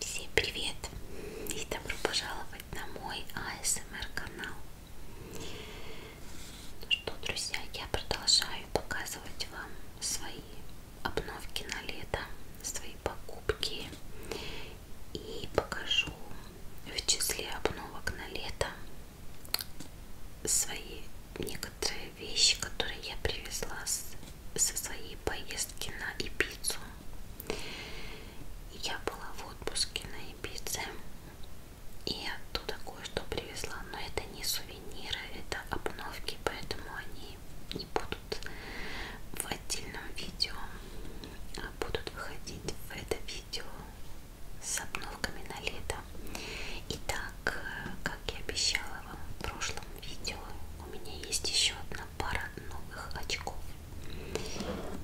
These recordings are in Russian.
Всем привет и добро пожаловать на мой АСМР канал. Ну что, друзья, я продолжаю показывать вам свои обновки на лето, свои покупки и покажу в числе обновок на лето свои некоторые вещи, которые я привезла с, со своей поездки на Ибицу. Я была в отпуске на Ибице и оттуда кое-что привезла, но это не сувениры, это обновки, поэтому они не будут в отдельном видео, а будут выходить в это видео с обновками на лето. Итак, э, как я обещала вам в прошлом видео, у меня есть еще одна пара новых очков.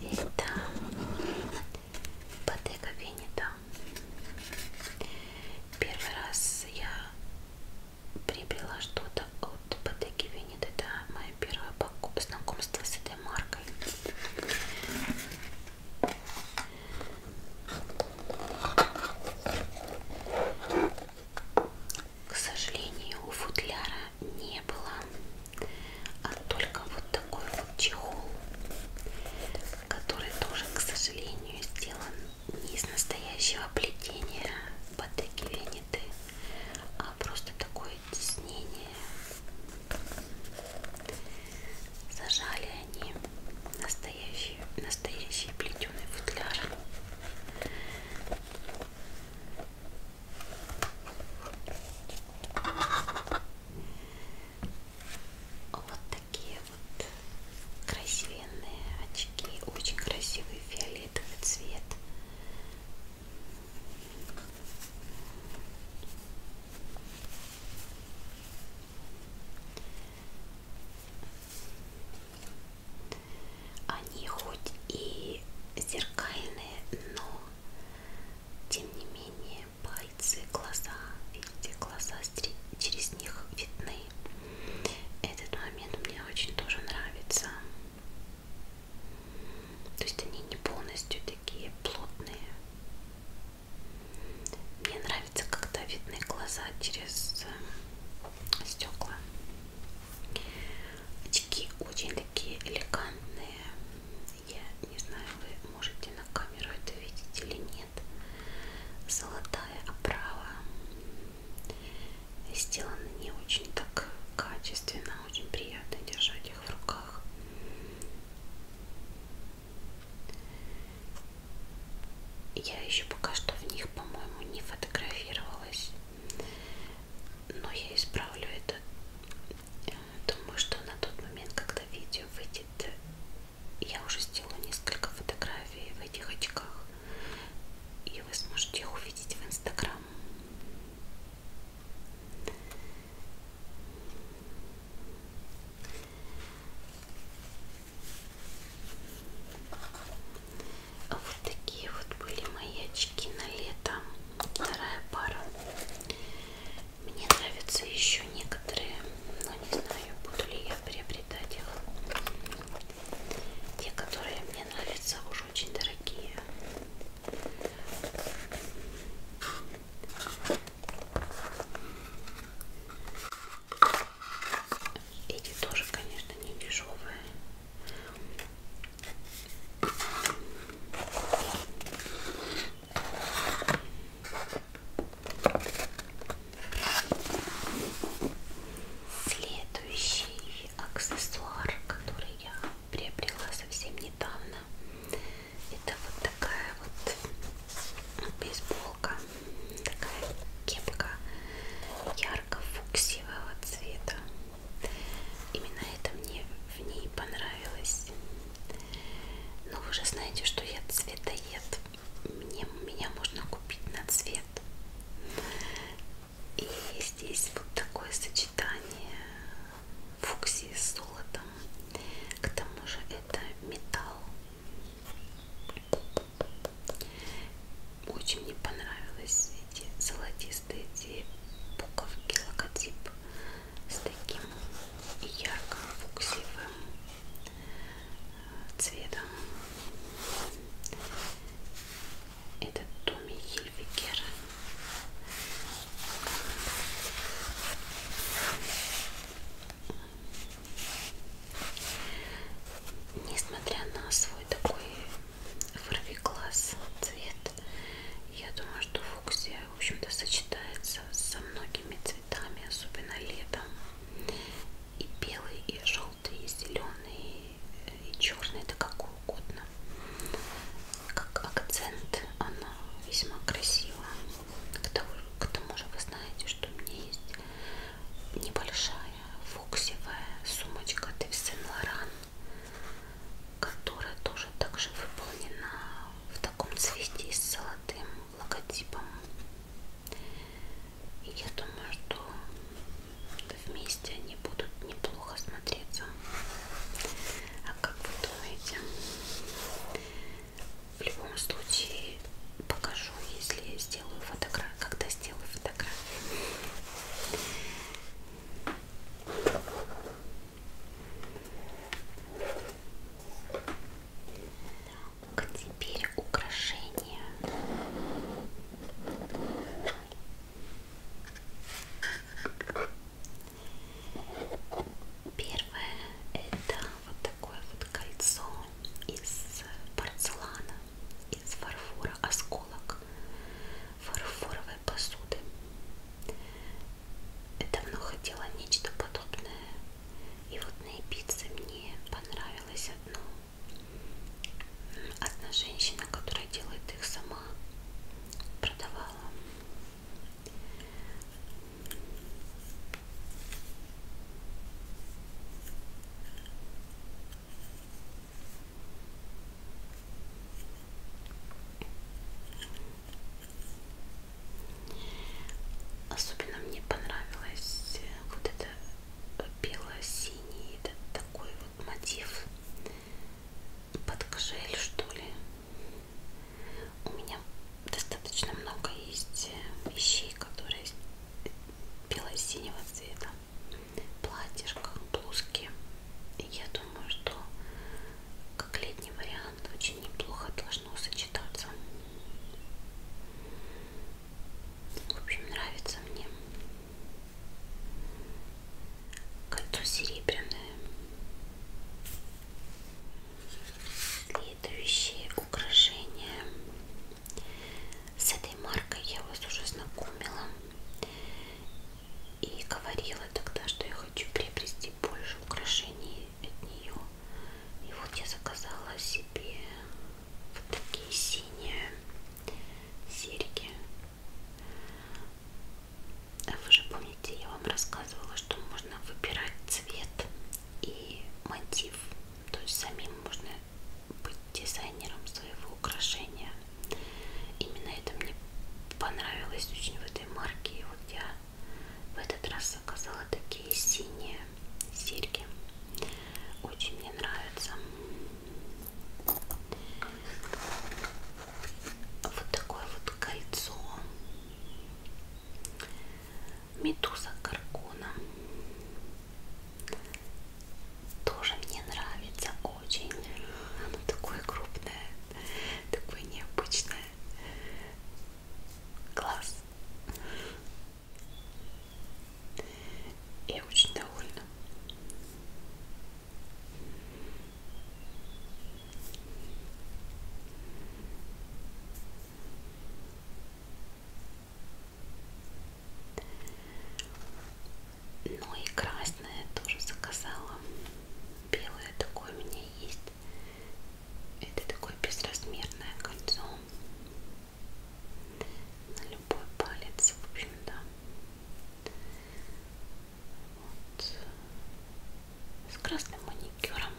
Это Bottega Veneta. Первый раз я приобрела что-то от Bottega Veneta. Это мое первое знакомство с этой маркой. К сожалению, у футляра не было, а только вот такой вот чехол, который тоже, к сожалению, сделан не из настоящего плетения Патеки Венеты, а просто такое тиснение. Зажали они настоящий, настоящий плетеный футляр. Вот такие вот красивенные очки, очень красивый фиолетовый цвет. Они хоть и зеркальные, но тем не менее пальцы, глаза, видите, глаза через них видны. Этот момент мне очень тоже нравится. То есть они не полностью такие плотные. Мне нравится, когда видны глаза через э, стекла. Очки очень такие элегантные. Я не знаю, вы можете на камеру это видеть или нет. Золотая оправа. Сделаны не очень так качественно, а очень приятно держать их в руках. Я еще пока что в них, по-моему, не фотографировалась. Но я исправлю это. Думаю, что на тот момент, когда видео выйдет, я уже сделала несколько фотографий в этих очках. И вы сможете их увидеть в Инстаграм. А вот такие вот были мои очки на лето. Вторая пара. Мне нравятся еще некоторые, но не знаю, буду ли я приобретать их. Те, которые мне нравятся, уже очень дорогие. Эти тоже, конечно, не дешевые. Следующий аксессуар, который я приобрела совсем недавно, это вот такая вот бейсболка, такая кепка ярко-фуксивого цвета. Именно это мне в ней понравилось. Но вы же знаете, что я цветоед. Мне, меня можно купить на цвет. И здесь вот такое сочетание фуксии с золотом. К тому же это металл. Очень мне понравились эти золотистые эти буковки, логотип с таким ярким фуксивым э, цветом. Это Томми Хильвикер. Несмотря на свой такой фарфикласс цвет, я думаю, что фуксия, в общем-то, сочетается со многими цветами, особенно летом. И белый, и желтый, и зеленый, и черный, да как угодно. Как акцент она весьма красива. К тому, к тому же вы знаете, что у меня есть небольшая фуксевая сумочка от Yves Saint Laurent, которая тоже также выполнена в таком цвете с золотым логотипом. И я думаю, что вместе они будут неплохо смотреться. А как вы думаете? в любом случае покажу, если сделаю фотографию, когда сделаю фотографию. Так, теперь украшения. Первое это вот такое вот кольцо из порцелана, из фарфора, осколок фарфоровой посуды. Я давно хотела нечто подобное. И вот на пицце мне понравилось одно. Одна женщина, которая делает их сама, продавала Особенно мне понравилось э, вот это э, бело-синий, это такой вот мотив под кожель, что ли. У меня достаточно много есть э, вещей, которые бело-синего цвета. Платьишко, блузки. И я думаю, что как летний вариант очень неплохо должно сочетаться. В общем, нравится мне. Кольцо серебряное следующие украшения. С этой маркой я вас уже знакомила и говорила тогда, что я хочу приобрести больше украшений от нее. И вот я заказала себе вот такие синие серьги. А вы же помните, я вам рассказывала, что можно выбирать цвет и мотив. То есть самим можно быть дизайнером своего украшения. Именно это мне понравилось очень в этой марке. И вот я в этот раз заказала такие синие серьги. Очень мне нравятся. Вот такое вот кольцо. Медуза Каркона. Тоже мне нравится очень. Оно такое крупное, такое необычное. Класс. Я очень довольна. Ну и красное тоже заказала. Белое такое у меня есть. Это такое безразмерное кольцо. На любой палец, в общем, да. Вот с красным маникюром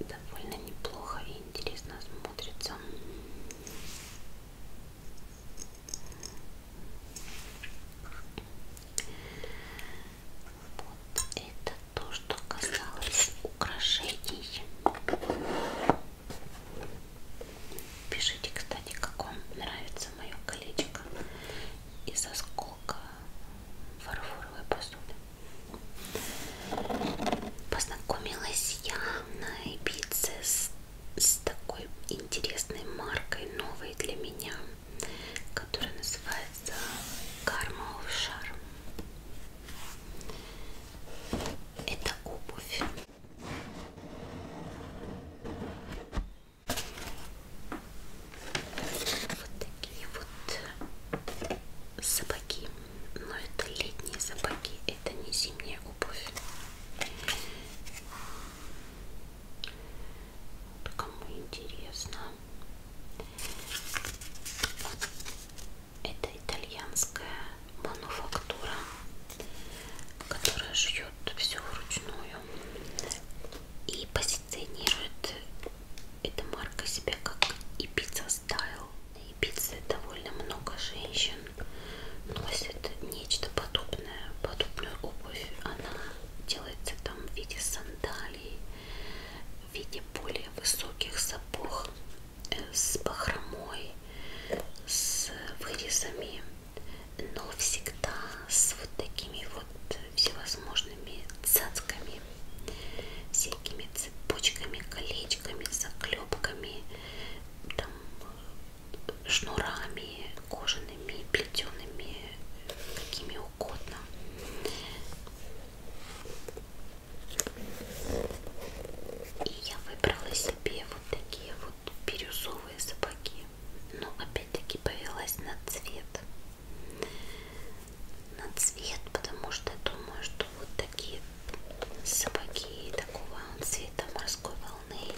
довольно неплохо и интересно смотрится вот это то что касалось украшений пишите кстати как вам нравится мое колечко и со скол полка фарфоровой посуды. Познакомилась я на Ибице с, с такой интересной маркой, новой для меня, которая называется Karma of Charm. Это обувь. Вот такие вот сапоги. Но это летние сапоги, это не зимняя обувь. Вот кому интересно. Это итальянская мануфактура, которая шьет все вручную и позиционирует эта марка себя как и пицца стайл. И пиццы довольно много женщин носят нечто подобное, подобную обувь. Она делается там в виде сандалий, в виде более высоких сапог, э, с бахромой, с вырезами, но всегда с вот такими вот всевозможными цацками, всякими цепочками, колечками, заклепками, там, шнурами, кожаными, плетеными, какими угодно. И я выбрала себе вот такие вот бирюзовые сапоги, но опять-таки повелась на цвет на цвет, потому что думаю, что вот такие сапоги такого цвета морской волны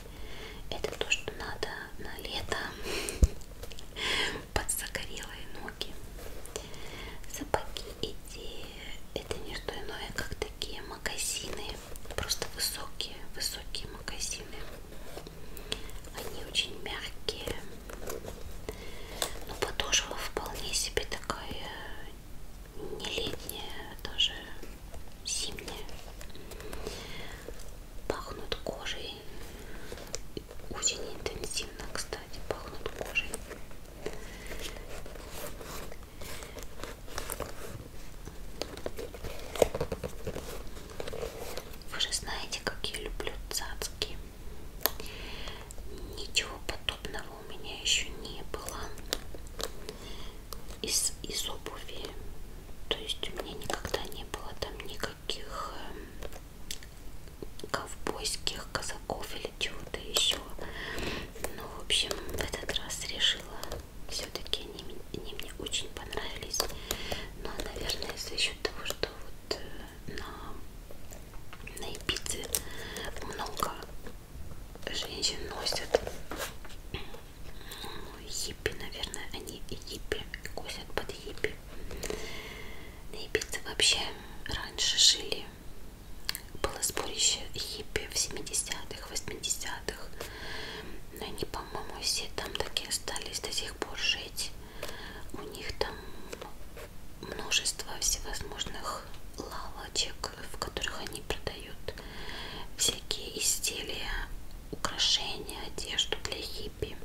это то, что надо на лето под загорелые ноги. Сапоги эти это не что иное, как такие магазины, просто высокие, высокие магазины. Они очень мягкие. Но ну, подошва вполне себе такая э, не летняя, а даже зимняя. Пахнут кожей. Очень интенсивно, кстати, пахнут кожей. Вы же знаете, как я люблю цацки. Ничего подобного у меня еще не было из, из обуви. То есть у меня никогда не было там никаких эм, ковбойских казаков или чего-то еще. Ну, в общем, в этот раз решила. Все-таки они, они мне очень понравились. Но, ну, а, наверное, если еще счет того, что вот э, на, на Ибице много женщин носят хиппи, ну, наверное, они хиппи, косят под хиппи. На Ибице вообще раньше жили, было сборище хиппи в 70-х, 80-х, но они, по-моему, все там такие остались до сих пор жить. У них там множество всевозможных лавочек, в которых они продают всякие изделия, украшения, одежду для хиппи.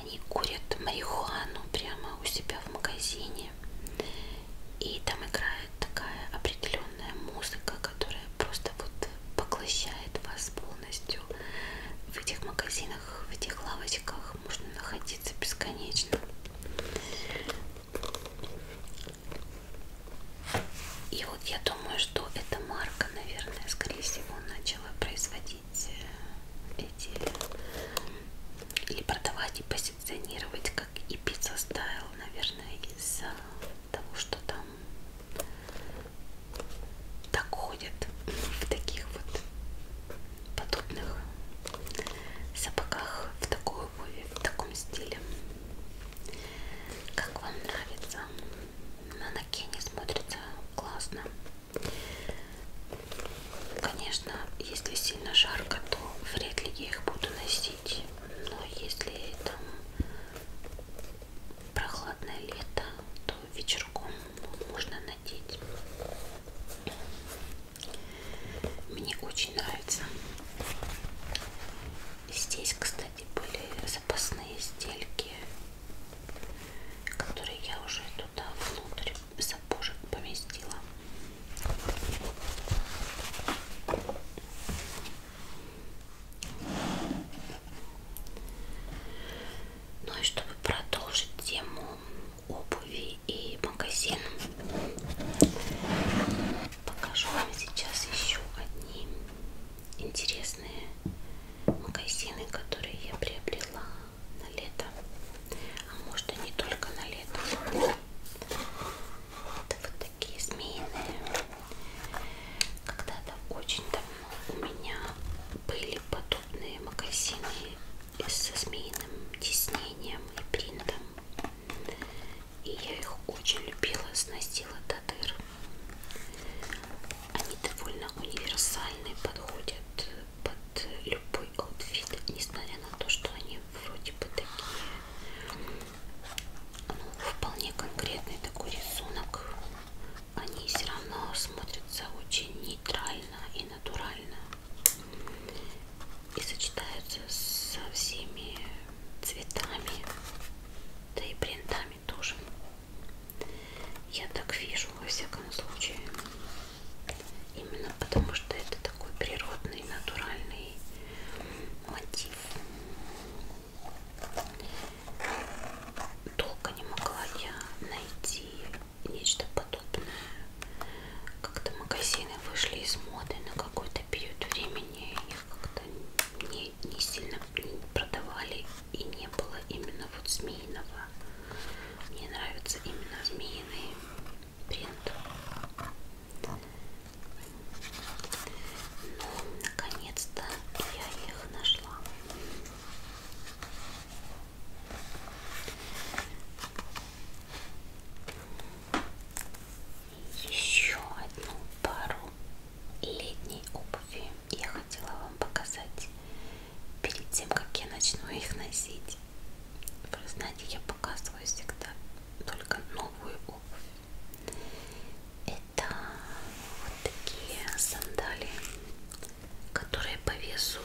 Они курят марихуану прямо у себя в магазине. И там играет такая определенная музыка, которая просто вот поглощает вас полностью полностью. В этих магазинах, в этих лавочках можно находиться бесконечно. И вот я думаю, что эта марка, наверное, скорее всего, начала производить э, эти или продавать и позиционировать как и пицца стайл, наверное, из-за того, что там так ходят в таких вот подобных сапогах, в такой обуви, в таком стиле. Как вам нравится? На Накене смотрится классно. Конечно, если сильно жарко, то вряд ли я их буду носить. Но если там прохладное лето, то вечерком можно надеть. Мне очень нравится. Здесь, кстати, были запасные стельки, которые я уже туда внутрь сапожек поместила. Ну и чтобы продолжить тему обуви и магазин, покажу вам сейчас еще одни интересные магазины, которые я приобрела на лето. А может и не только на лето. Это вот такие змеиные. Когда-то очень давно у меня были подобные магазины со змеиным тиснением и принтом. И я их очень любила, сносила до дыр. Они довольно универсальны, подходят под любой аутфит, несмотря на то, что они вроде бы такие ну, вполне конкретный такой рисунок они все равно смотрятся очень нейтрально и натурально и сочетаются со всеми цветами, да и принтами тоже. Я так вижу, во всяком случае. Именно потому, что это такой природный, натуральный мотив. Долго не могла я найти нечто подобное. Как-то магазины вышли из моды на какой-то период времени. Их как-то не, не сильно не продавали. И не было именно вот змеиного. Мне нравится именно змеиный принт. Наконец-то я их нашла. Еще одну пару летней обуви я хотела вам показать перед тем, как я начну их носить. Вы знаете, я показываю всегда только новую обувь. Это это вот такие сандалии, которые по весу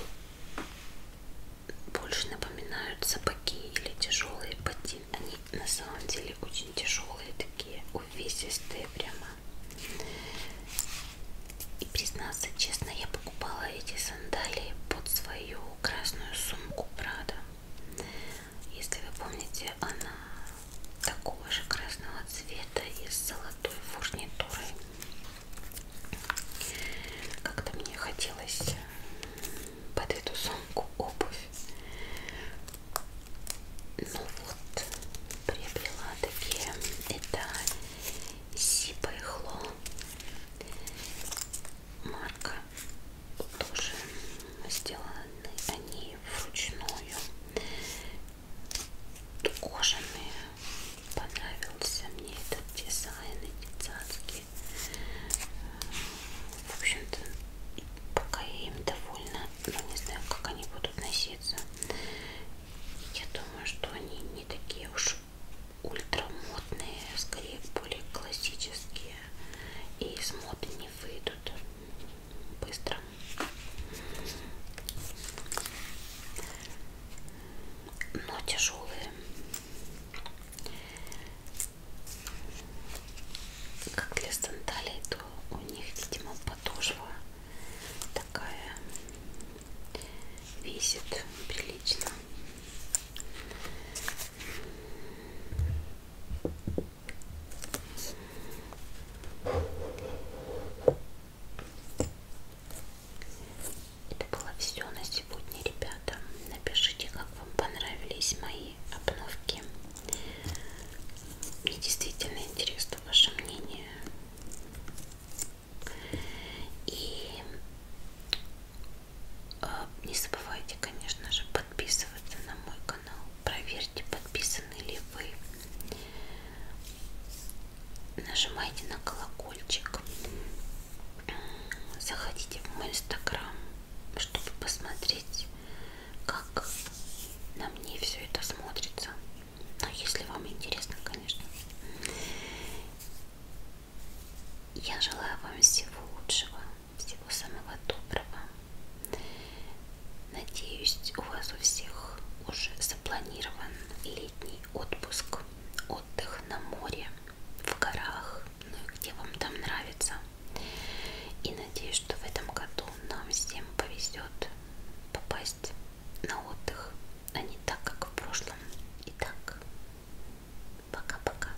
больше напоминают сапоги или тяжелые ботинки. Они на самом деле очень тяжелые, такие увесистые прямо. И признаться честно, я покупала эти сандалии под свою красную сумку Прада. Если вы помните, она такого же красного цвета и с золотой фурнитурой. Как-то мне хотелось э, под эту сумку обувь. Ну вот, приобрела такие. Это Сипа и Хло. Марка тоже сделаны они вручную кожаные. Понравился мне этот дизайн, эти цацки. В общем-то, пока я им довольна, но ну, не знаю, как они будут носиться. Я думаю, что они не такие уж ультрамодные, а скорее более классические. И из моды не выйдут быстро. Но тяжелые. Как для сандалий, то у них, видимо, подошва такая весит прилично. Это было все на сегодня, ребята. Напишите, как вам понравились мои обновки. Мне действительно интересно ваше мнение. И э, не забывайте, конечно же, подписываться на мой канал. Проверьте, подписаны ли вы. Нажимайте на колокольчик. Заходите в мой инстаграм, чтобы посмотреть, как на мне все это смотрится. Ну, если вам интересно, конечно. Я желаю вам всего лучшего, всего самого доброго. Надеюсь, у вас у всех уже запланирован летний отпуск, отдых на море, в горах, ну и где вам там нравится. И надеюсь, что в этом году нам всем повезет попасть на отдых, а не так, как в прошлом. Итак, пока-пока.